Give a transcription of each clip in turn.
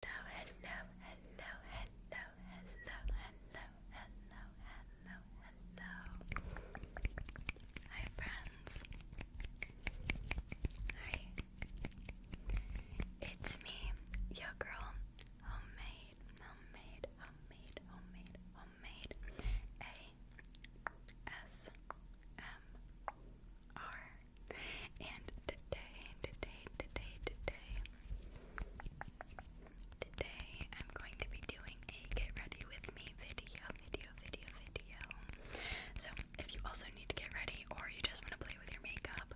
Hello, hello, hello, hello, hello, hello, hello, hello, hello. Hi, friends. Hi. It's me, your girl, homemade, homemade, homemade, homemade, homemade. A S M R. And today, today, today, today, today, I'm going to be doing a get ready with me video, video, video, video. So if you also need to get ready or you just want to play with your makeup,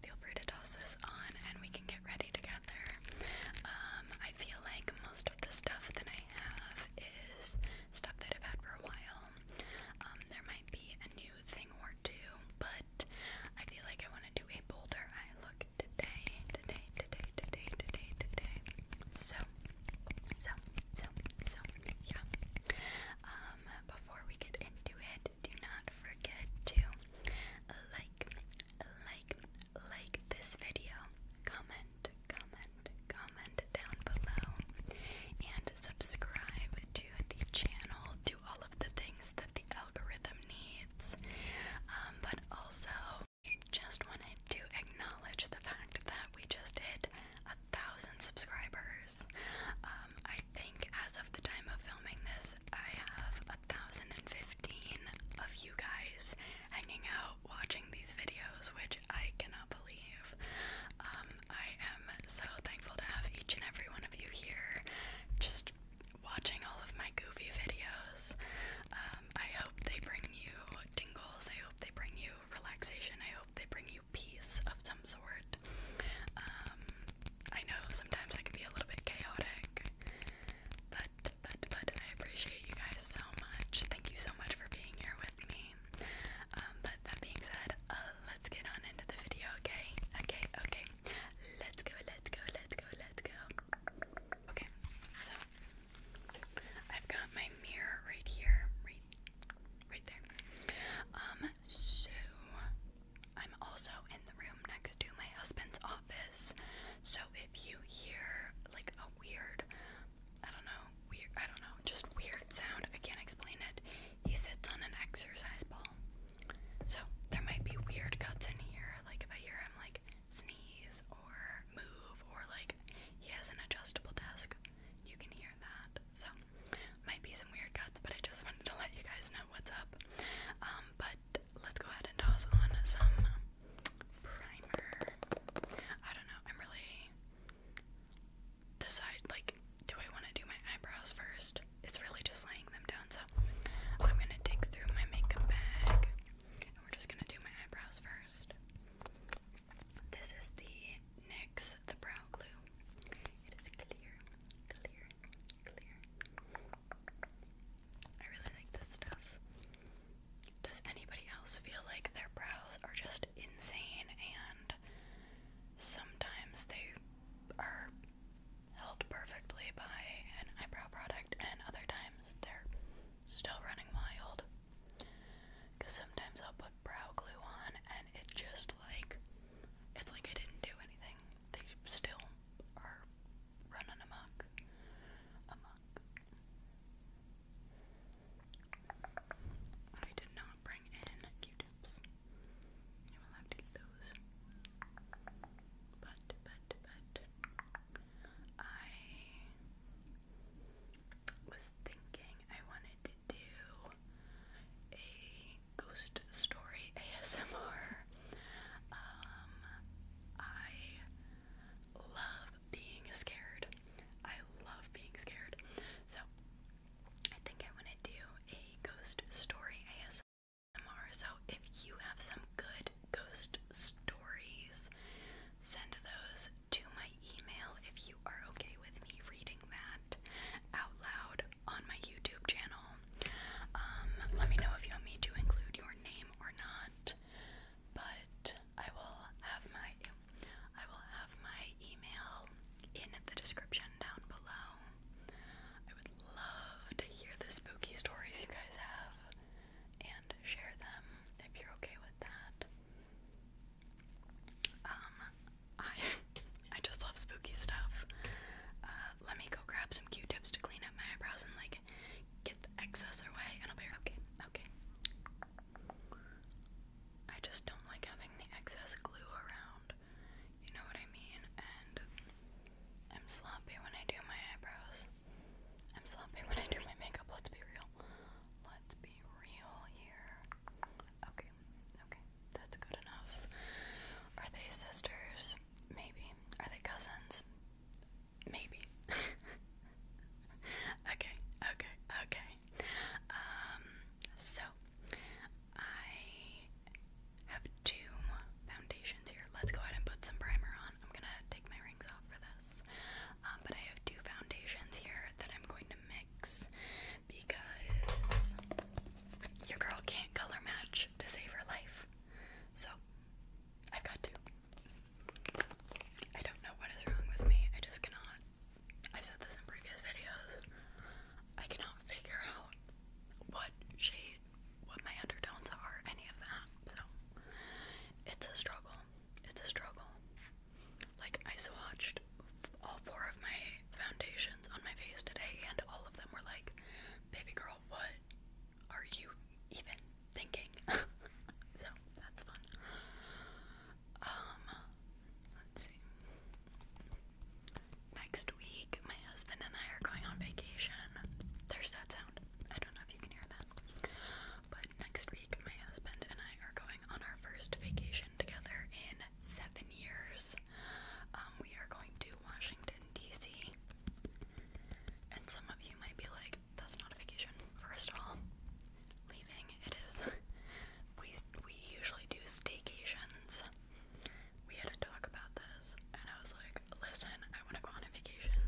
feel free to toss this on and we can get ready together. Um, I feel like most of the stuff that I have is stuff that I've had for a while. Um, there might be a new thing more too, but I feel like I want to do a bolder eye look today, today, today, today, today, today. So, so, so, so, yeah. Um, before we get into it, do not forget to like, like, like this video, comment, comment, comment down below, and subscribe to the channel all of the things that the algorithm needs. Um, but also, I just wanted to acknowledge the fact that we just hit a thousand subscribers. Um, I think as of the time of filming this, I have a thousand and fifteen of you guys hanging out watching these videos, which I cannot believe. Um, I I am so thankful to have each and every one of you here just watching all of my goofy videos. Um, I hope they bring you tingles, I hope they bring you relaxation, I hope they bring you peace of some sort. Um, I know sometimes I can be a little bit chaotic, but, but, but I appreciate you guys so much. Thank you so much for being here with me. Um, but that being said, uh, let's get on into the video, okay? Okay, okay. Okay, let's go, let's go, let's go, let's go. Okay, so I've got my mirror right here, right, right there. Um, so I'm also in the room next to my husband's office. So if you hear like a weird, I don't know, weird, I don't know, just weird sound, I can't explain it. He sits on an exercise ball. So there might be weird cuts in here, like if I hear him like sneeze or move, or like he has an adjustable desk, you can hear that. So might be some weird cuts, but I just wanted to let you guys know what's up. Um, but let's go ahead and toss on some primer. I don't know. I'm really decide like do I want to do my eyebrows first? It's really just laying them down. So I'm going to dig through my makeup bag we're just going to do my eyebrows first. This is the NYX The Brow Glue. It is clear, clear, clear. I really like this stuff. Does anybody else feel like their brows are just insane and sometimes they are held perfectly by an eyebrow product, and other times they're still running wild. Because sometimes I'll put brow glue on, and it just like it's like I didn't do anything. They still are running amok. Amok. I did not bring in cute crisps. I will have to get those. But, but, but, I was thinking I wanted to do a ghost story ASMR. Um, I love being scared. I love being scared. So, I think I want to do a ghost story ASMR. So if you have some good ghost stories, send those to my email if you are okay with me reading that out loud on my YouTube channel. Um, let me know if you want me to include your name or not. But I will have my I will have my email in the description down below. I would love to hear the spooky stories you guys have and share them if you're okay with that. Um, I I just love spooky stuff. Uh, let me go grab some Q-tips to clean up my eyebrows and like get the excess away, and I'll be okay. Okay. I just don't like having the excess glue around. You know what I mean? And I'm sloppy when I do my eyebrows. I'm sloppy when I do my makeup, let's be real. Let's be real here. Okay, okay, that's good enough. Are they sisters? Maybe. Are they cousins? Maybe. okay, okay, okay. Um, so I have two foundations here. Let's go ahead and put some primer on. I'm gonna take my rings off for this. Um, but I have two foundations here that I'm going to mix because your girl can't color match to save her life. So I've got to. I don't know what is wrong with me. I just cannot. I've said this in previous videos. I cannot figure out what what my undertones are, any of that. So it's a struggle. It's a struggle. Like, I swatched all four of my foundations on my face today, and all of them were like, baby girl, what are you even thinking? so that's fun. Um, let's see. Next week, my husband and I are going on vacation. There's that sound. I don't know if you can hear that. But next week, my husband and I are going on our first vacation together in seven years. Um, we are going to Washington, D.C. And some of you might be like, that's not a vacation. First of all, leaving, it is. We, we usually do staycations we had to talk about this, and I was like, listen, I want to go on a vacation.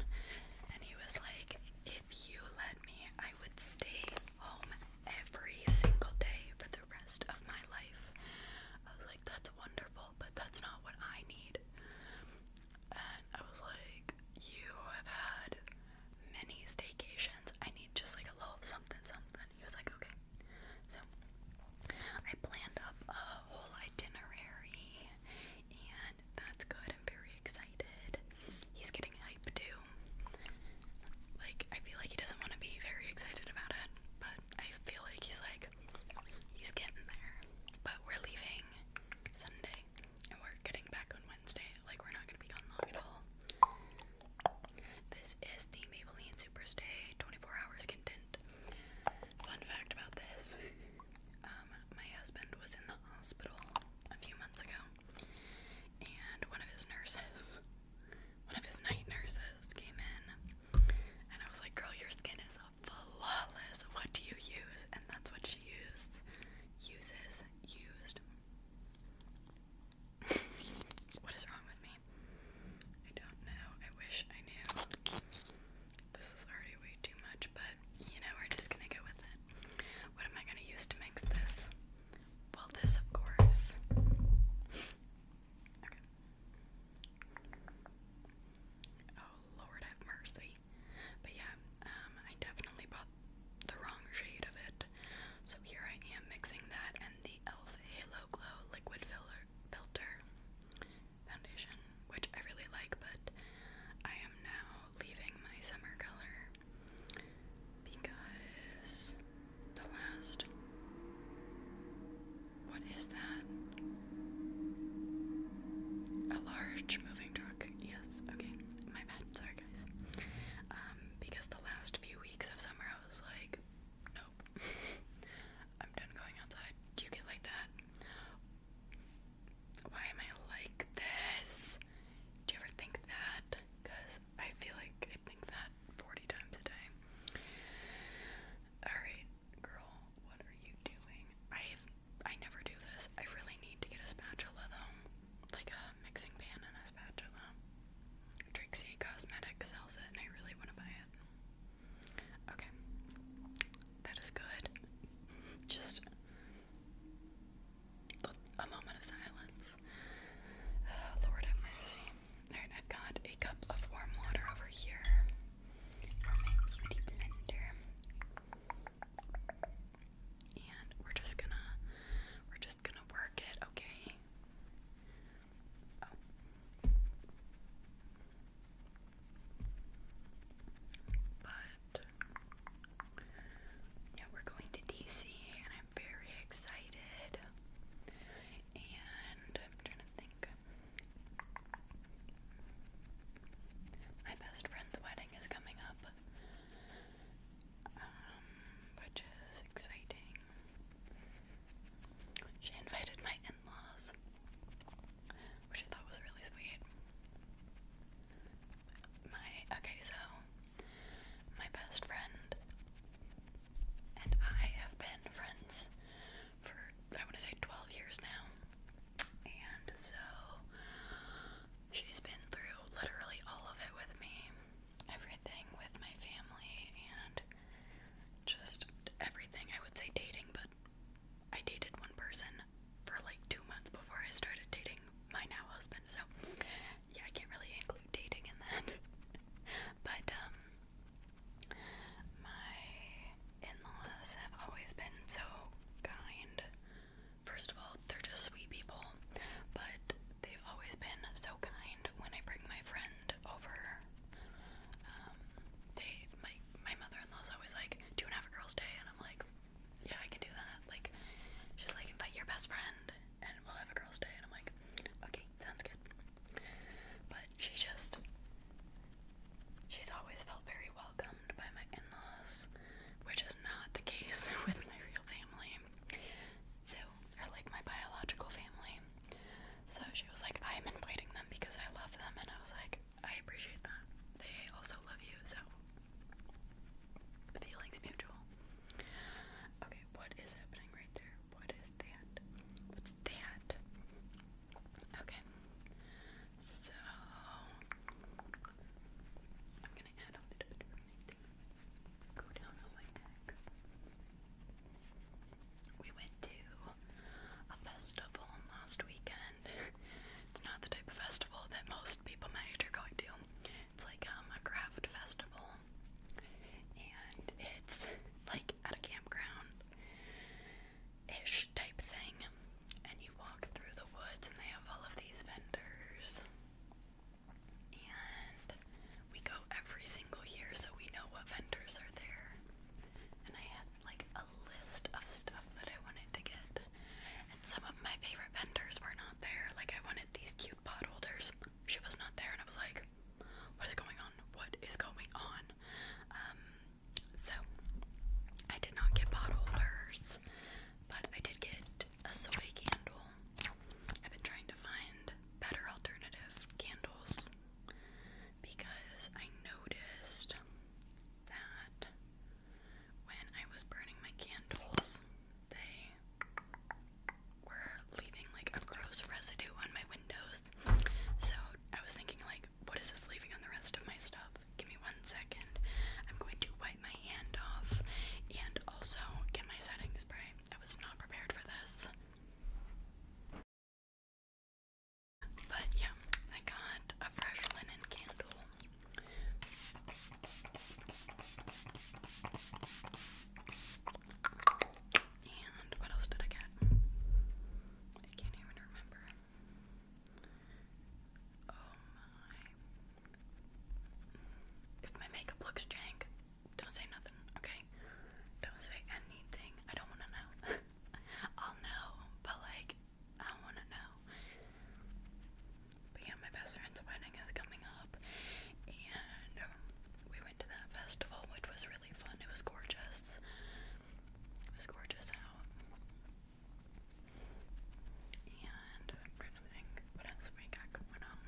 And he was like, if you let me, I would stay home every single day for the rest of my life. I was like, that's wonderful, but that's not what I need. And I was like, you have had many staycations. I need just like a little something, something he was like, okay. So I planned up a whole itinerary, and that's good. I'm very excited. He's getting hype too. Like, I feel like he doesn't want to be very excited about it, but I feel like he's like, he's getting there. But we're leaving Sunday, and we're getting back on Wednesday. Like, we're not going to be gone long at all. This is the Maybelline Superstay 24 Hours Contin happened. Fun fact about this um, my husband was in the hospital a few months ago, and one of his nurses, one of his night nurses, came in, and I was like, Girl, your skin is flawless. What do you use? And that's what she used. Uses. Used. what is wrong with me? I don't know. I wish I knew. This is already way too much, but you know, we're just gonna go with it. What am I gonna use to mix this? Well, this, of course. Oh, Lord have mercy. But yeah, um, I definitely bought the wrong shade of it. So here I am mixing that and the e.l.f. Halo Glow Liquid Filler Filter foundation, which I really like, but I am now leaving my summer color because the last. What is that? A large moving truck. Yes, okay. My bad. Sorry, guys. Um, because the last few weeks of summer I was like, nope, I'm done going outside. Do you get like that? Why am I like this? Do you ever think that? Because I feel like I think that 40 times a day. Alright, girl, what are you doing? i I never do this. I really need to get a spatula though. Like a mixing pan and a spatula. Trixie Cosmetics sells it and I really want to buy it. Okay. That is good. Just a moment of silence. Oh, Lord have mercy. Alright, I've got a cup of warm water over here for my beauty blender. And we're just gonna we're just gonna work it, okay? But yeah, we're going to DC and I'm very excited. And I'm trying to think. My best friend's wedding is coming up. Um, which is exciting. She invited my in laws, which I thought was really sweet. My okay, so my best friend and I have been friends for I want to say 12 years now, and so she's been through literally all of it with me, everything with my family, and just everything. I would say dating, but I dated one person for like two months before I started dating my now husband, so yeah, I can't really include dating in that. but, um, my in laws have always been so kind. First of all, they're just sweet people, but they've always been so kind when I bring my friend over. Um, they my my mother-in-law's always like, "Do you have a girls' day?" And I'm like, "Yeah, I can do that." Like, she's like, "Invite your best friend, and we'll have a girls' day." And I'm like, "Okay, sounds good." But she just, she's always felt very welcomed by my in-laws, which is not the case with my real family. So, or like my biological family. So she was like, I am inviting them because I love them. And I was like, I appreciate that. They also love you. So, feelings mutual. Okay, what is happening right there? What is that? What's that? Okay. So, I'm gonna add a little bit of anything. Go down my neck. We went to a festival last weekend. it's not the type of festival that most people might are going to. It's like um, a craft festival, and it's like at a campground ish type thing. And you walk through the woods, and they have all of these vendors. And we go every single year, so we know what vendors are there and I had like a list of stuff that I wanted to get. And some of my favorite vendors were not there. Like I wanted these cute pot holders. She was not there and I was like, what is going on? What is going on? Um so I did not get pot holders, but I did get a soy candle. I've been trying to find better alternative candles because I noticed that when I was burning my candles, they were leaving like a gross residue on my windows. So I was thinking, like, what is this leaving on the rest of my stuff? Give me one second. I'm going to wipe my hand off and also get my setting spray. I was not prepared for this. But yeah, I got a fresh linen candle. And what else did I get? I can't even remember. Oh my. If my makeup looks jank, don't say nothing, okay? Don't say anything. I don't want to know. I'll know, but like, I want to know. But yeah, my best friend's wedding is coming up, and um, we went to that festival, which was really fun. It was gorgeous. It was gorgeous out. And what else we got going on.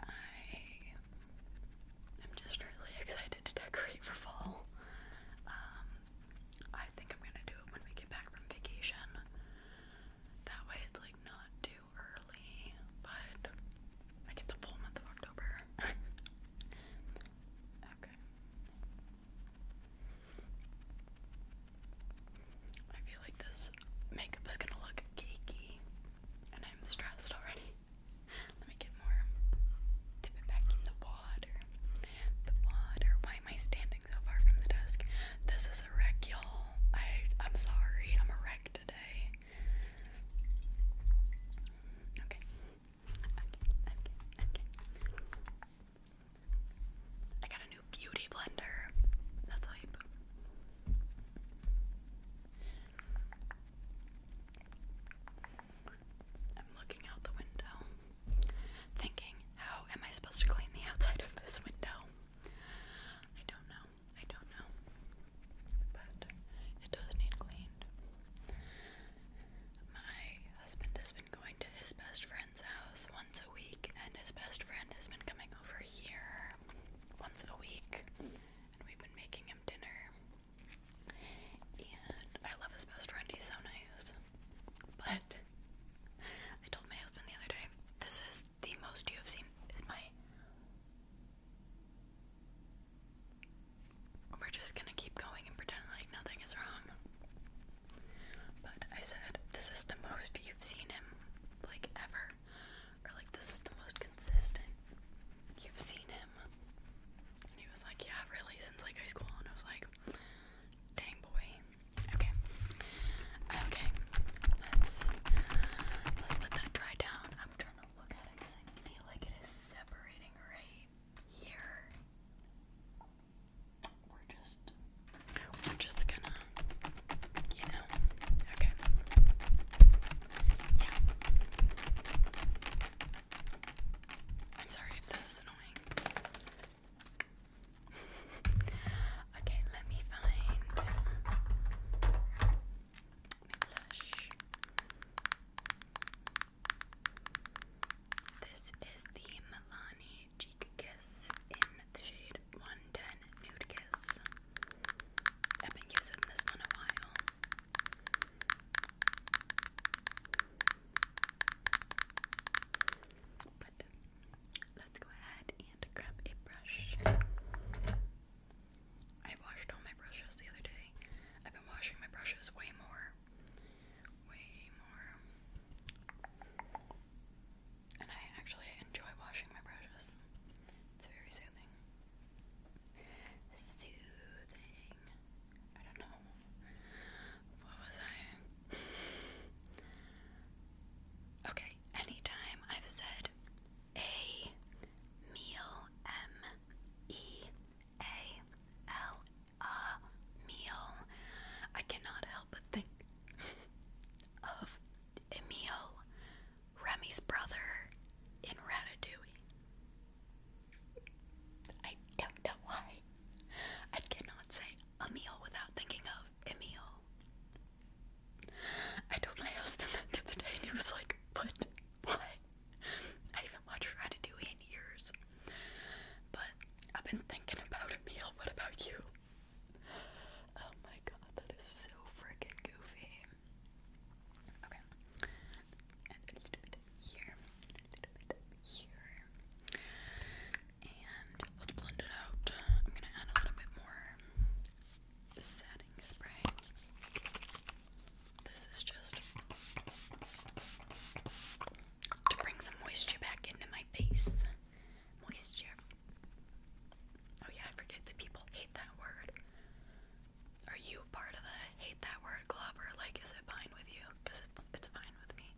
I i am just really excited to decorate for fall. Um, I think I'm gonna do it when we get back from vacation. That way it's like not too early, but I get the full month of October. okay. I feel like this makeup's gonna look cakey, and I'm stressed already. Let me get more. Dip it back in the water. The water. Why am I standing so far from the desk? This is a wreck, y'all. I I'm sorry. I'm a wreck today. Okay. Okay. Okay. Okay. I got a new beauty blender. That's hype. I'm looking out the window, thinking, how am I supposed to clean the outside of this window? I don't know. I don't know. But it does need cleaned. My husband has been going to his best friend's house once a week, and his best friend has been coming over here once a week, and we've been making him dinner. And I love his best friend, he's so nice. But I told my husband the other day, this is the most you have seen is my we're just gonna keep going and pretend like nothing is wrong. But I said, this is the most you've seen him, like ever. Or like this is the most consistent you've seen him. And he was like, yeah, really, since like high school. And I was like, dang boy. Okay. Okay. Let's let that dry down. I'm trying to look at it because I feel like it is separating right here. We're just we're just gonna you know. Okay. Yeah. I'm sorry if this is annoying. okay, let me find This is the Milani Cheek Kiss in the shade 110 Nude Kiss. I've been using this one a while let's go ahead and grab a brush. I washed all my brushes the other day. I've been washing my brushes way more. Way more. And I actually enjoy washing my brushes. It's very soothing soothing. I don't know. What was I? okay, anytime I've said a meal, M E A L, a meal, I cannot help but think of Emil Remy's brother in Ratatouille. I don't know why. I cannot say a without thinking of Emil. I told my husband that today, and he was like, What? Why?" I haven't watched Ratatouille in years. But I've been thinking about Emil. What about you? Oh my god, that is so freaking goofy. Okay. And a little bit here. a little bit here. And let's blend it out. I'm gonna add a little bit more setting spray. This is just to bring some moisture back into my face. Moisture. Oh yeah, I forget that people hate that word. Are you part of the hate that word club or like is it fine with you? Because it's it's fine with me.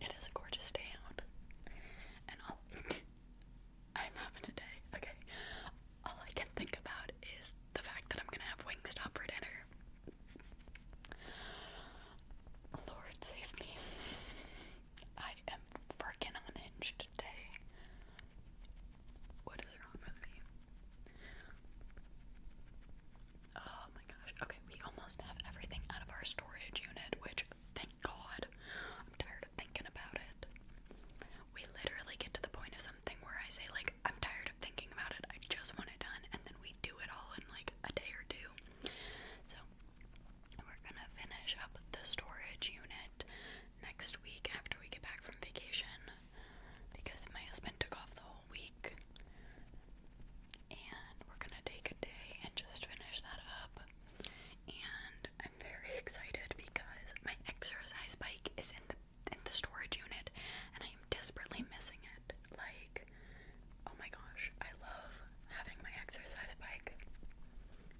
It is a gorgeous day out. And I'm having a day, okay. All I can think about is the fact that I'm gonna have Wingstop for dinner. Lord save me. I am freaking unhinged today. What is wrong with me? Oh my gosh. Okay, we almost have everything out of our storage unit, which thank God. I'm tired of thinking about it. We literally get to the point of something where I say, like, I'm tired of thinking about it. I just want it done. And then we do it all in like a day or two. So we're gonna finish up the storage unit next week after we get back from vacation because my husband took off the whole week. And we're gonna take a day and just finish that up. And I'm very excited because my exercise bike is in the in the storage unit and I am desperately missing it. Like, oh my gosh, I love having my exercise bike.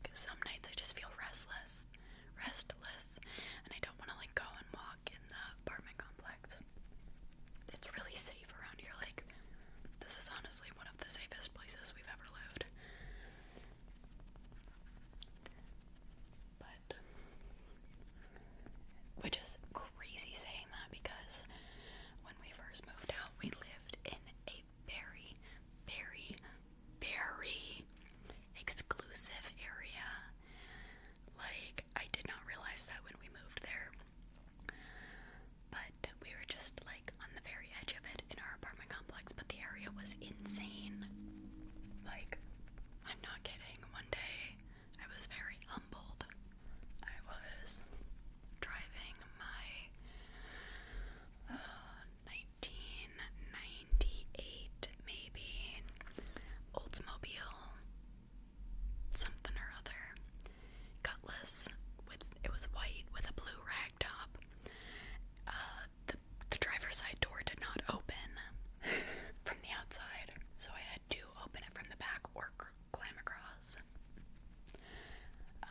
Because some nights I just feel restless, restless, and I don't want to like go and walk in the apartment complex. It's really safe around here. Like, this is honestly one of the safest places we've ever lived. But, which is crazy saying that because when we first moved out, we lived in a very, very, very, exclusive area. Like, I did not realize that when we moved there. But we were just like on the very edge of it in our apartment complex, but the area was insane. Like, I'm not kidding. One day I was very humbled. I was driving my uh, 1998, maybe. Oldsmobile, something or other. Gutless, with it was white with a blue rag top. Uh, the driver's side door did not open from the outside, so I had to open it from the back or climb across. Um,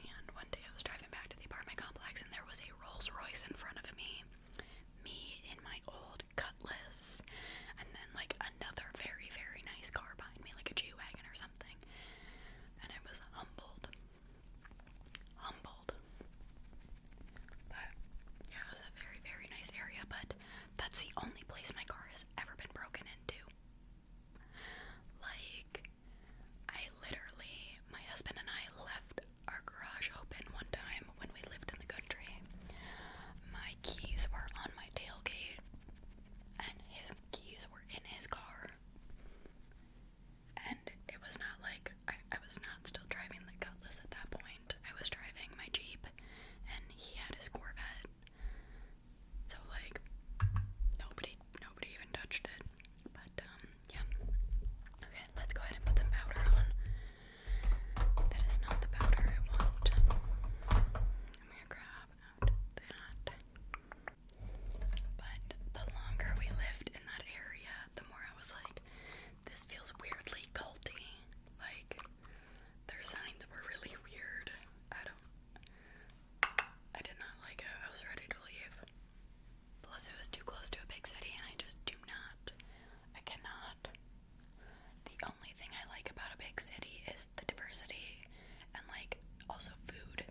and one day I was driving back to the apartment complex and there was a Rolls Royce in front of me. Me in my old Cutlass, and then like another very, very nice car behind me, like a G Wagon or something. And I was humbled. Humbled. But yeah, it was a very, very nice area, but that's the only place my car has ever been broken into. Like, I literally, my husband and I left our garage open one time when we lived in the country. My keys were on my tailgate, and his keys were in his car. And it was not like I, was not still driving the Cutlass at that point. I was driving my Jeep, and he had his Corvette. So like nobody, nobody even touched it. But um, yeah. Okay, let's go ahead and put some powder on. That is not the powder I want. I'm gonna grab that. But the longer we lived in that area, the more I was like, this feels weirdly culty. Like their signs were really weird. I don't I did not like it. I was ready to leave. Plus, it was too close to a big city, and I just do not. I cannot. The only thing I like about a big city is the diversity and, like, also food.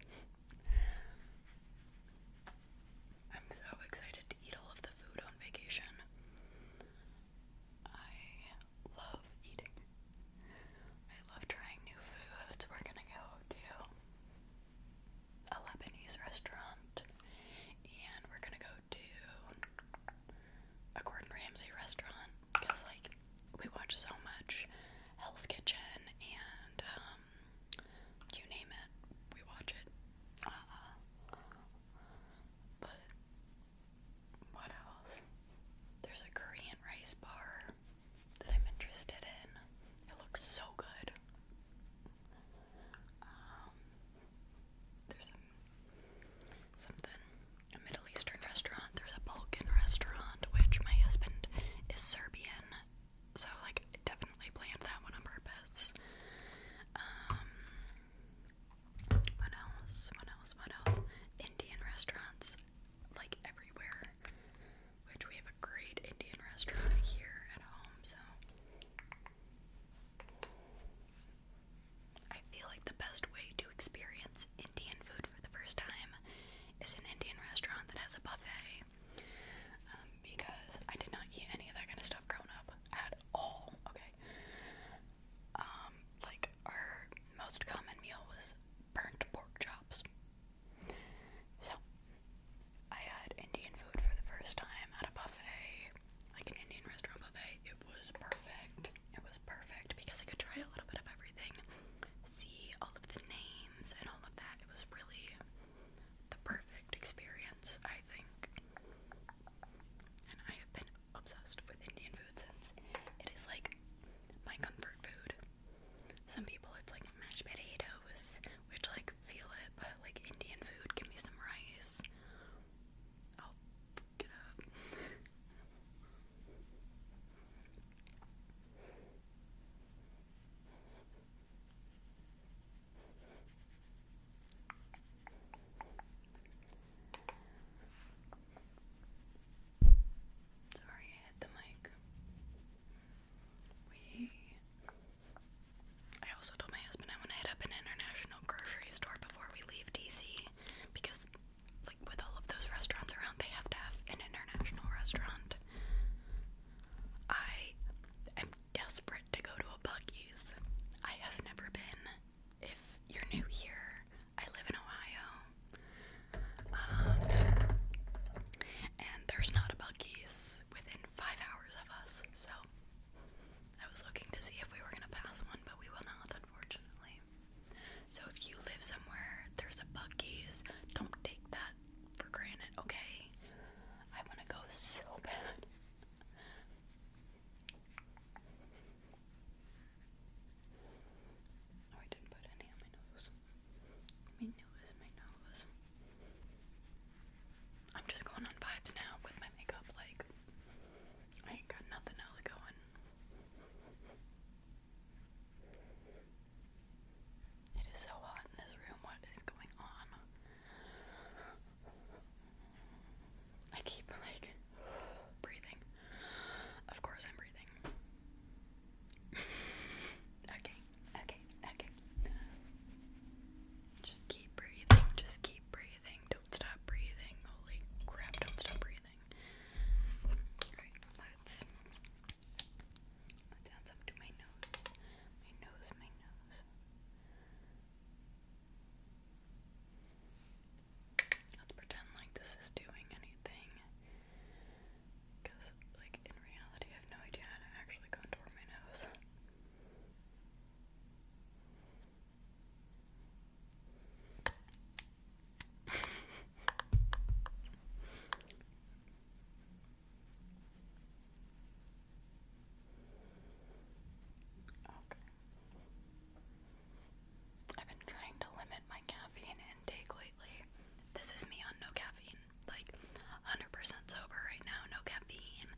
I'm so excited to eat all of the food on vacation. I love eating. I love trying new foods. We're gonna go to a Lebanese restaurant, and we're gonna go to a Gordon Ramsay restaurant because, like, we watch so much Hell's Kitchen and um, you name it, we watch it. Uh, but what else? There's a Korean rice bar that I'm interested in. It looks so good. Um, there's something a Middle Eastern restaurant. There's a Balkan restaurant, which my husband is Serbian, so like definitely planned that one on purpose. Um, what else? What else? What else? Indian restaurants, like everywhere which we have a great Indian restaurant here at home, so I feel like the best way to experience Indian food for the first time is an Indian restaurant that has a buffet. Um, because I did not eat any of that kind of stuff growing up at all. Okay. Um, like our most common meal was burnt pork chops. So, I had Indian food for the first time at a buffet, like an Indian restaurant buffet. It was perfect. It was perfect because I could try a little bit of everything, see all of the names and all of that. It was really the perfect experience, I think. And I have been obsessed with Indian food since. It is like my comfort food. Some people it's like mashed potatoes, which like feel it, but like Indian food, give me some rice. i get up. Sorry, I hit the mic. I also told my husband I want to hit up an international grocery store before we leave DC because, like, with all of those restaurants around, they have to have an international restaurant. I am desperate to go to a Bucky's. I have never been. If you're new here, I live in Ohio. Um, and there's not a Bucky's within five hours of us, so I was looking to see if we were gonna pass one, but we will not, unfortunately. So if you live somewhere, there's a Bucky's, don't take that for granted, okay? I wanna go so bad. Oh, I didn't put any on my nose. My nose, my nose. I'm just going on vibes now with my makeup, like, I ain't got nothing else going. It is so hot in this room. What is going on? I keep like breathing. Of course, I'm breathing. okay. Okay, okay. Just keep breathing. Just keep breathing. Don't stop breathing. Holy crap, don't stop breathing. let's let's add to my nose. My nose, my nose. Let's pretend like this is doing anything. Because, like, in reality, I have no idea how to actually contour my nose. okay. I've been trying to limit my caffeine intake lately. This is me on no caffeine like 100% sober right now, no caffeine,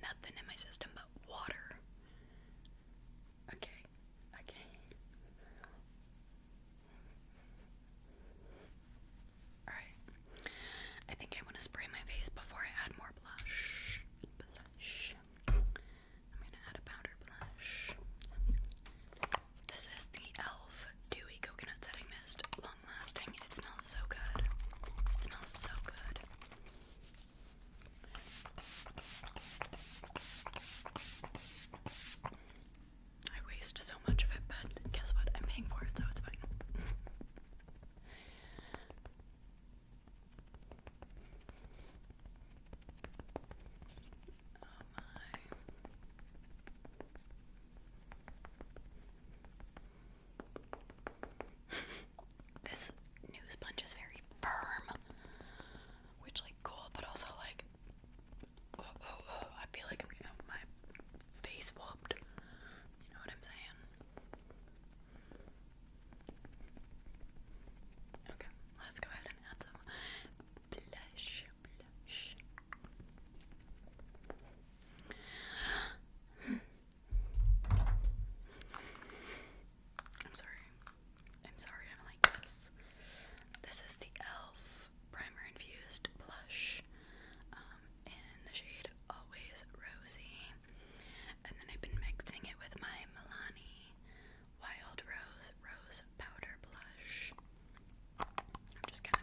nothing in my system but water. Okay, okay. Alright, I think I want to spray my face before I add more blush. I'm gonna add a powder blush. This is the e.l.f dewy coconut setting mist. Long lasting. It smells so good. It smells so good. I waste so much of it, but guess what? I'm paying for it, so it's fine. Oh this news punch is very firm, which like cool, but also like oh oh oh. I feel like I'm gonna have my face whooped. You know what I'm saying? Okay, let's go ahead and add some blush. I'm sorry. I'm sorry I'm like this. This is the e.l.f. Primer Infused Blush um, in the shade Always Rosy. And then I've been mixing it with my Milani Wild Rose Rose Powder Blush. I've just kind of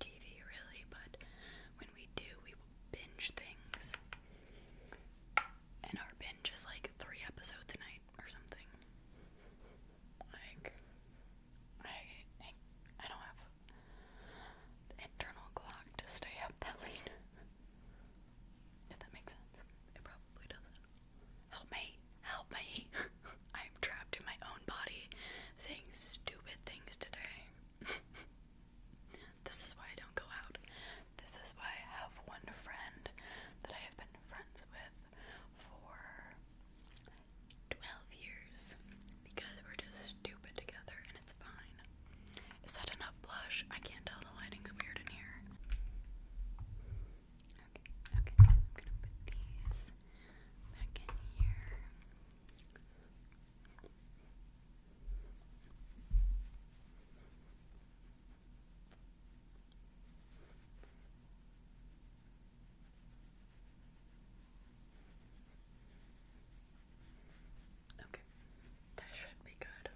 TV really, but when we do, we binge things. And our binge is like three episodes a or something. Like, I, I, don't have internal clock to stay up that late. If that makes sense. It probably doesn't. Help me! Help me! I'm trapped in my own body saying stupid things today. this is why I don't go out. This is why I have one friend that I have been friends with for 12 years because we're just stupid together and it's fine. Is that enough blush? I can't tell, the lighting's weird in here. Okay, okay, I'm gonna put these back in here. Okay, that should be good.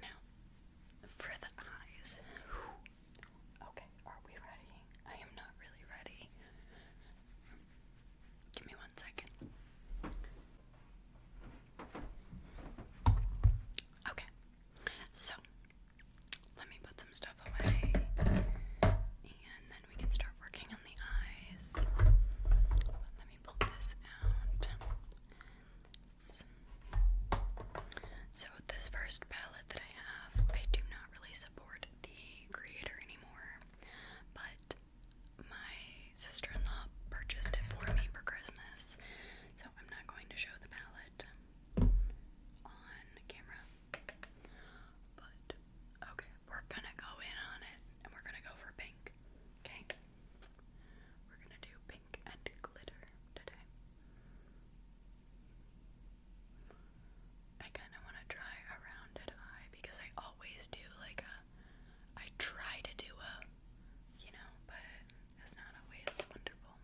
Now, for the eyes. Okay, are we ready? I am not really ready. Give me one second. Okay, so let me put some stuff away and then we can start working on the eyes. Let me pull this out. So, this first palette that I have, I do not really support the creator anymore, but my sister in law purchased it for me for Christmas, so I'm not going to show the palette on camera. But okay, we're gonna go in on it and we're gonna go for pink. Okay, we're gonna do pink and glitter today. I kind of want to try a rounded eye because I always do like a. I try to do a, you know, but it's not always wonderful.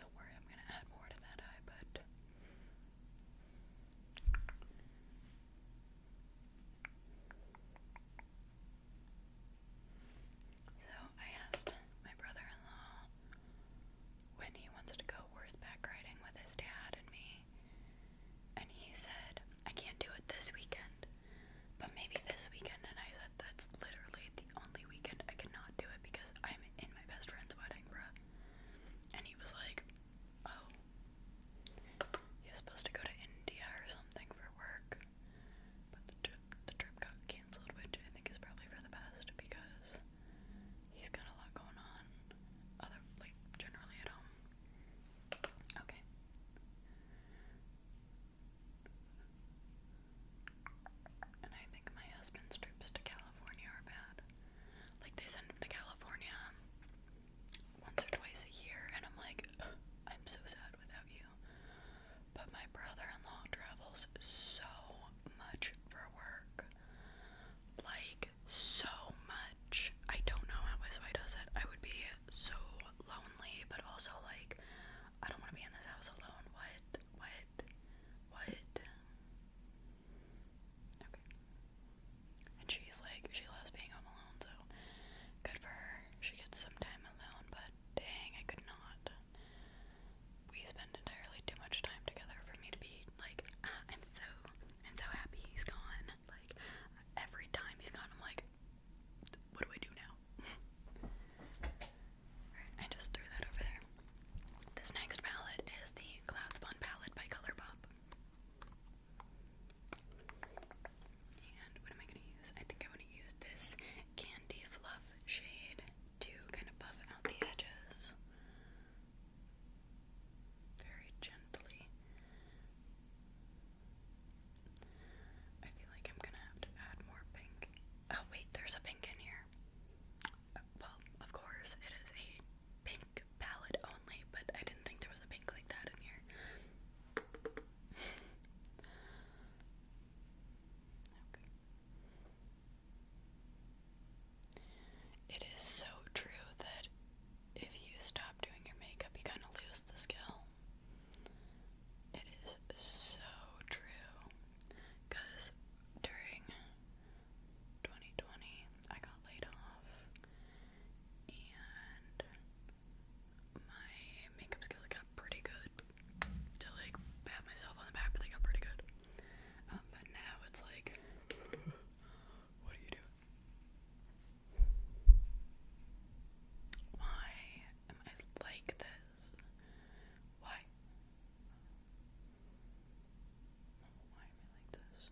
Don't worry, I'm gonna add more to that eye, but. So I asked my brother in law when he wanted to go horseback riding with his dad and me. And he said, I can't do it this weekend, but maybe this weekend. And I said, That's literally the only weekend I cannot do it because I'm in my best friend's wedding, bruh. And he was like, Oh, you're supposed to go to India or something for work. But the trip, the trip got cancelled, which I think is probably for the best because He's got a lot going on. Other like generally at home. Okay. And I think my husband's trips to California are bad. Like they send him to California once or twice a year and I'm like I'm so sad without you. But my brother-in-law travels so much for work. Like like so much. I don't know how my soy does it. I would be so lonely, but also like I don't want to be in this house alone. What? What? What? Okay. And she's like, she loves being home alone, so good for her. She gets some time alone, but dang, I could not. We spend entirely too much time together for me to be like, ah, I'm so and so happy he's gone. Like every time he's gone, I'm like, what do I do now? I just threw that over there. This next palette is the Cloud palette by Colourpop. And what am I gonna use? I think I want to use this Candy Fluff shade to kind of buff out the edges very gently. I feel like I'm gonna have to add more pink. Oh, wait, there's a pink in here. Well, of course, it is a pink palette only, but I didn't think there was a pink like that in here. Okay. It is so true that if you stop doing your makeup, you kind of lose the skill. It is so true. Because during 2020, I got laid off, and my makeup skills got pretty good. To like pat myself on the back, but they got pretty good. Um, but now it's like what are you doing? Why am I like this? Why? Why am I like this?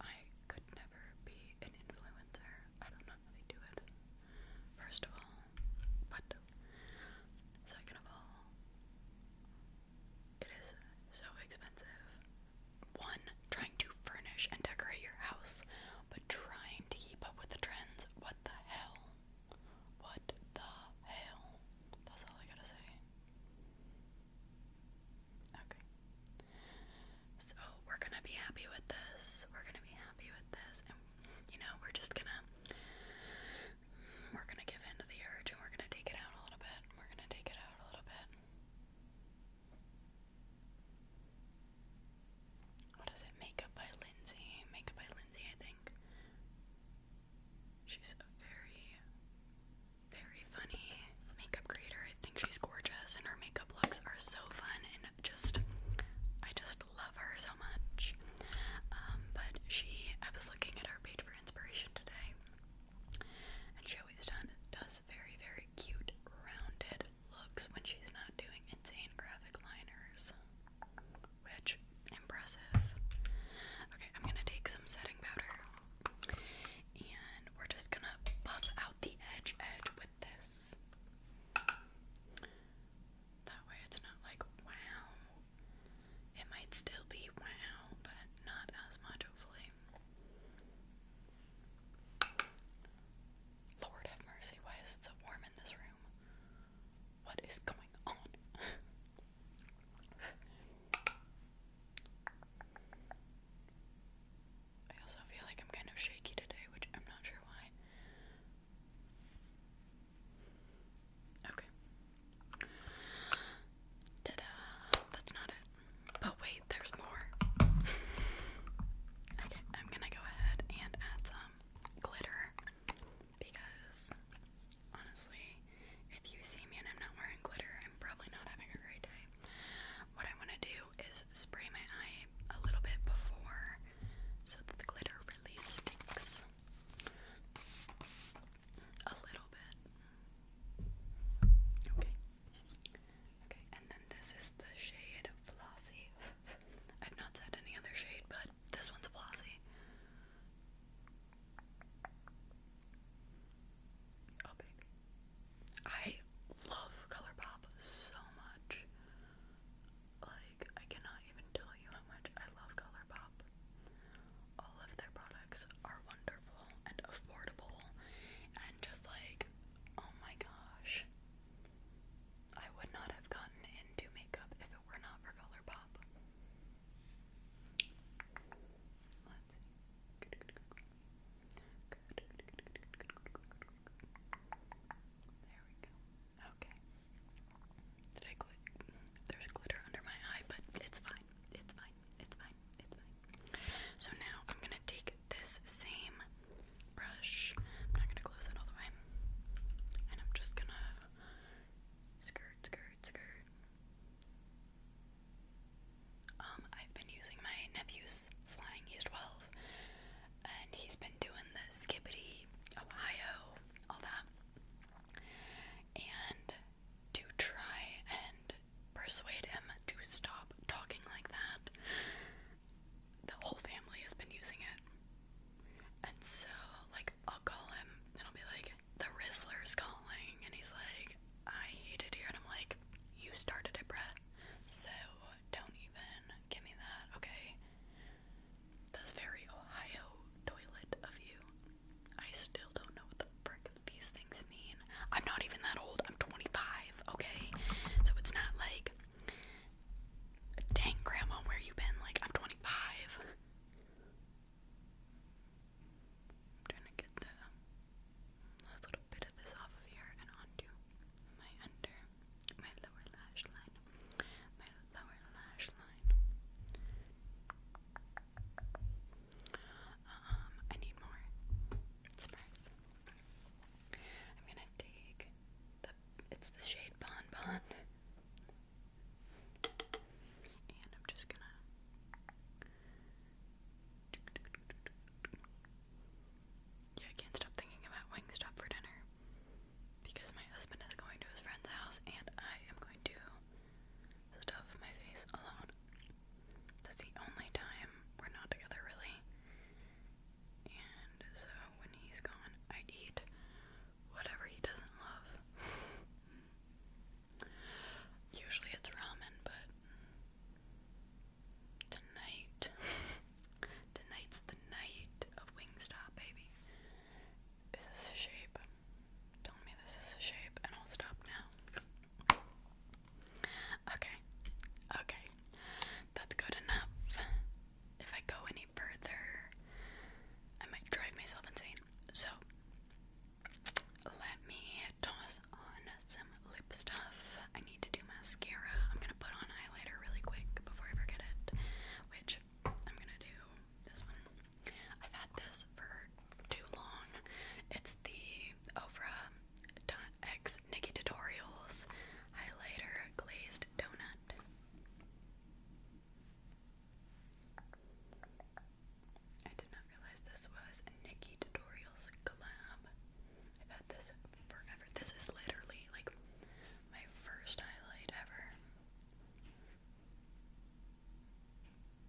I could never be an influencer. I don't know how they do it. First of all, but second of all, it is so expensive. One, trying to furnish and decorate your house, but trying to keep up with the trends. What the hell? What the hell? That's all I gotta say. Okay. So we're gonna be happy with this. We're gonna be happy with this, and you know we're just gonna we're gonna give in to the urge, and we're gonna take it out a little bit. We're gonna take it out a little bit. What is it? Makeup by Lindsay. Makeup by Lindsay, I think. She's very very funny makeup creator. I think she's gorgeous, and her makeup looks are so fun, and just I just love her so much. Um, but she, I was looking at her page for inspiration today, and she always done, does very very cute rounded looks when she's not doing insane graphic liners, which impressive. Okay, I'm gonna take some setting powder. And we're just gonna buff out the edge edge with this. That way it's not like wow. It might still be wow, but not as much, hopefully. Lord have mercy, why is it so warm in this room? What is going on? I also feel like I'm kind of shaky today, which I'm not sure why. Okay. That's not it. But wait, there's more. okay, I'm gonna go ahead and add some glitter because honestly, if you see me and I'm not wearing glitter, I'm probably not having a great day. What I want to do is spray my eye a little bit before so that the glitter really sticks. A little bit. Okay. Okay, and then this is the shade Flossy. I've not said any other shade, but this one's Flossy. Oh, i I love Color Pop so much. Like, I cannot even tell you how much I love Color All of their products are wonderful and affordable, and just like, oh my gosh. I would not have gotten into makeup if it were not for Color Let's see. Good, good, There we go. Okay. Did I gl There's glitter under my eye, but it's fine. It's fine. It's fine. It's fine. So now I'm gonna take this same brush. I'm not gonna close it all the way. And I'm just gonna skirt, skirt, skirt. Um, I've been using my nephew's He's 12, and he's been doing the skibbity, Ohio, all that. And to try and persuade him to stop talking like that, the whole family has been using it. And so, like, I'll call him, and I'll be like, the Rizzler's calling, and he's like, I hate it here. And I'm like, you started it, Brett. So don't even give me that, okay? That's very Ohio toilet of you. I still don't know what the frick these things mean. I'm not even that old. I'm 25, okay? So it's not like, dang, Grandma, where you been? Like, I'm 25. trying to get the. That's what bit of this off of here and onto my under, my lower lash line, my lower lash line. Um, I need more spray. I'm gonna take the, it's the shade Bon Bon. And I'm just gonna yeah, I can't stop thinking about Wingstop for dinner because my husband is going to his friend's house and I am going to stuff my face alone. That's the only time we're not together, really. And so when he's gone, I eat whatever he doesn't love. Usually it's ramen, but Tonight. Tonight's the night of Wingstop, baby. Is a shape? Tell me this is a shape, and I'll stop now. Okay. Okay. That's good enough. If I go any further, I might drive myself insane. So, let me toss on some lip stuff. I need to do mascara. I'm gonna put on highlighter really quick before I forget it, which I'm gonna do this one. I've had this for too long. It's the Ofra X Nikki Tutorials Highlighter Glazed Donut. I did not this was Nikki Tutorials collab. I've had this forever. This is literally like my first highlight ever.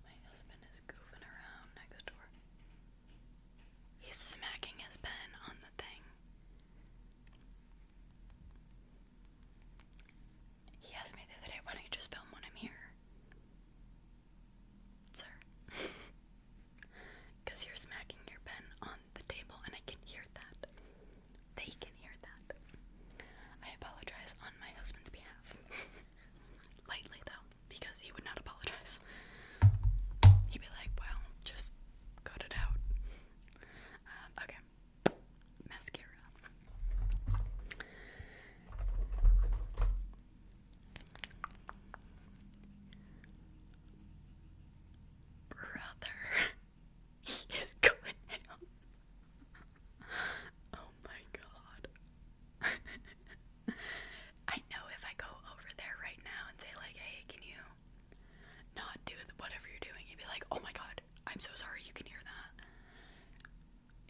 My husband is goofing around next door. He's smacking his pen on the thing. He asked me the other day, why do you just film when I'm here? sir. Because you're smacking your pen on the table and I can hear that. They can hear that. I apologize on my husband's behalf. Lightly, though, because he would not apologize. He'd be like, well, just cut it out. Uh, okay. Mascara. Brother, he is going Oh my god. I know if I go over there right now and say, like, hey, can you not do whatever you're doing? You'd be like, oh my god, I'm so sorry you can hear that.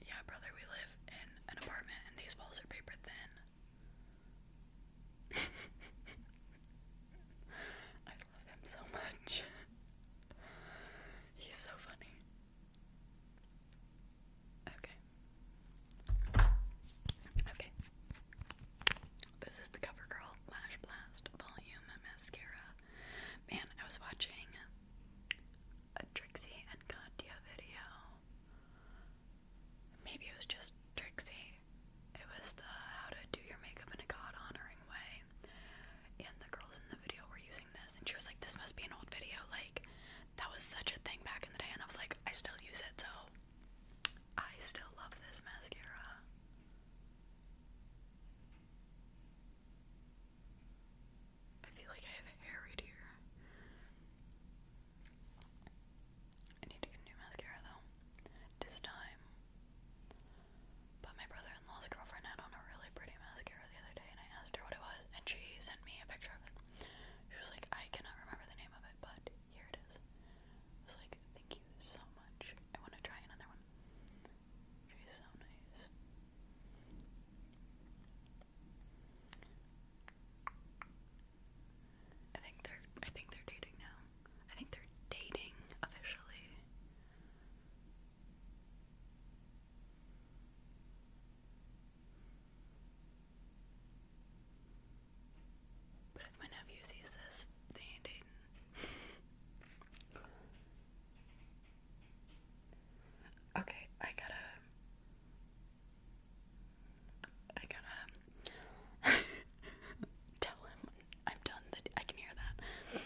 Yeah, brother, we live in an apartment and these walls are paper thin. I love him so much. He's so funny. Okay. Okay. This is the CoverGirl Lash Blast Volume Mascara. Man, I was watching a Trixie and Katya video Maybe it was just Trixie. It was the how to do your makeup in a God honoring way. And the girls in the video were using this, and she was like, This must be an old video. Like, that was such a thing back in the day. And I was like, I still use it, so I still love this mascara. I feel like I have hair right here. I need to get new mascara though. This time. But my brother in law's girlfriend had on a really pretty mascara the other day, and I asked her what it was, and she sent me a picture of it. She was like, I cannot remember the name of it, but here it is. I was like, Thank you so much. I want to try another one. She's so nice. I think they're I think they're dating now. I think they're dating officially. But if my nephew sees this, they ain't dating. okay, I gotta I gotta tell him I'm done that I can hear that.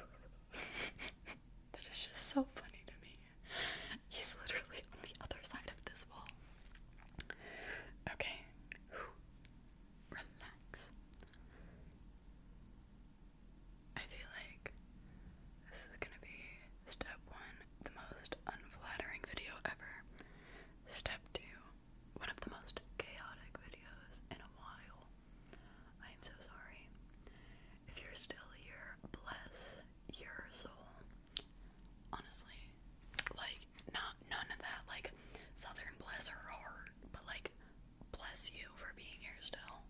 that is just so funny to me. He's literally on the other side of this wall. Okay. Relax. I feel like this is gonna be step one the most unflattering video ever. Step two, one of the most chaotic videos in a while. I am so sorry. If you're still here, bless your soul. Honestly, like, not none of that, like, Southern bless her heart, but like, bless you for being here still.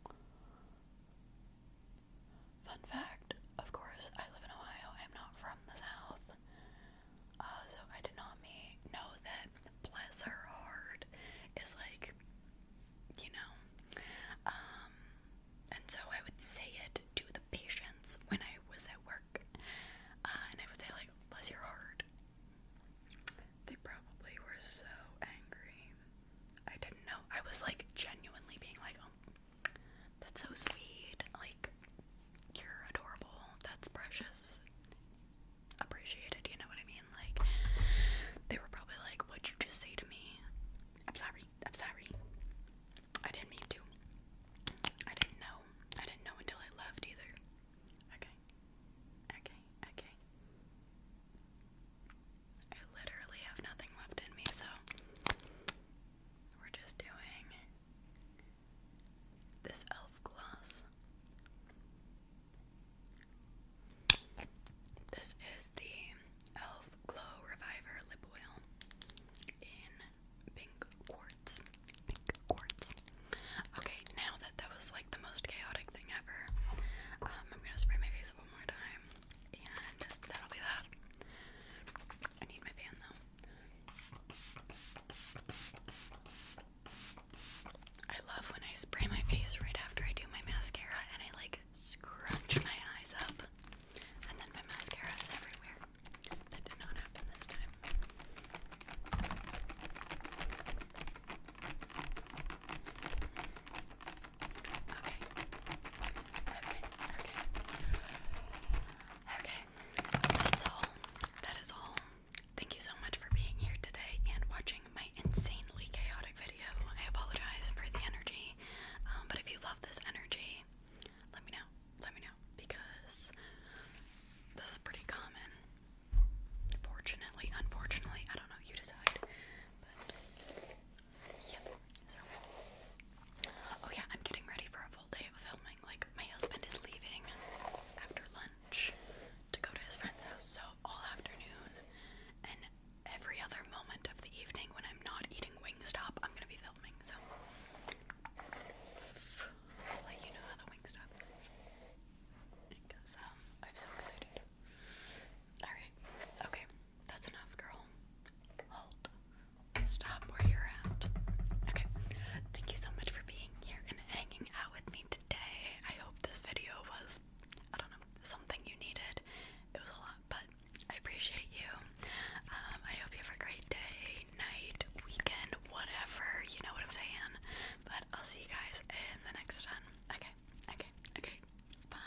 Fun fact, of course, I live in Ohio. I'm not from the South. Uh, so I did not me know that bless her heart is like, you know. Um, and so I would say it to the patients when I was at work. Uh, and I would say, like, bless your heart. They probably were so angry. I didn't know. I was like genuinely being like, oh, that's so sweet. Like, you're adorable. That's precious. Appreciated, you know what I mean? Like, they were probably like, What'd you just say to me? I'm sorry. I'm sorry. I didn't mean to. I didn't know. I didn't know until I left either. Okay. Okay. Okay. I literally have nothing left in me, so we're just doing this elf gloss. This is the Elf Glow Reviver Lip Oil in pink quartz. Pink quartz. Okay, now that that was like the most chaotic thing ever, um, I'm gonna spray my face one more time. And that'll be that. I need my fan though. I love when I spray my face right after I do my mascara and I like scrunch my eyes up and then my mascara is everywhere. That did not happen this time. Okay. Okay, okay. Okay, that's all. That is all. Thank you so much for being here today and watching my insanely chaotic video. I apologize for the energy, um, but if you love this energy, let me know. Let me know because this is pretty common. Fortunately, unfortunately, I don't know. You decide. Yep. So. Oh yeah, I'm getting ready for a full day of filming. Like my husband is leaving after lunch to go to his friend's house, so all afternoon and every other moment of the evening when I'm not eating Wingstop, I'm gonna be filming. So I'll let you know how the Wingstop is. Because um, I'm so excited. Alright, okay. That's enough, girl. Hold. Stop where you're at. Okay. Thank you so much for being here and hanging out with me today. I hope this video was, I don't know, something you needed. It was a lot, but I appreciate you. Um, I hope you have a great day, night, weekend, whatever. You know what I'm saying? But I'll see you guys in the next one. Okay. Okay. Okay. Bye.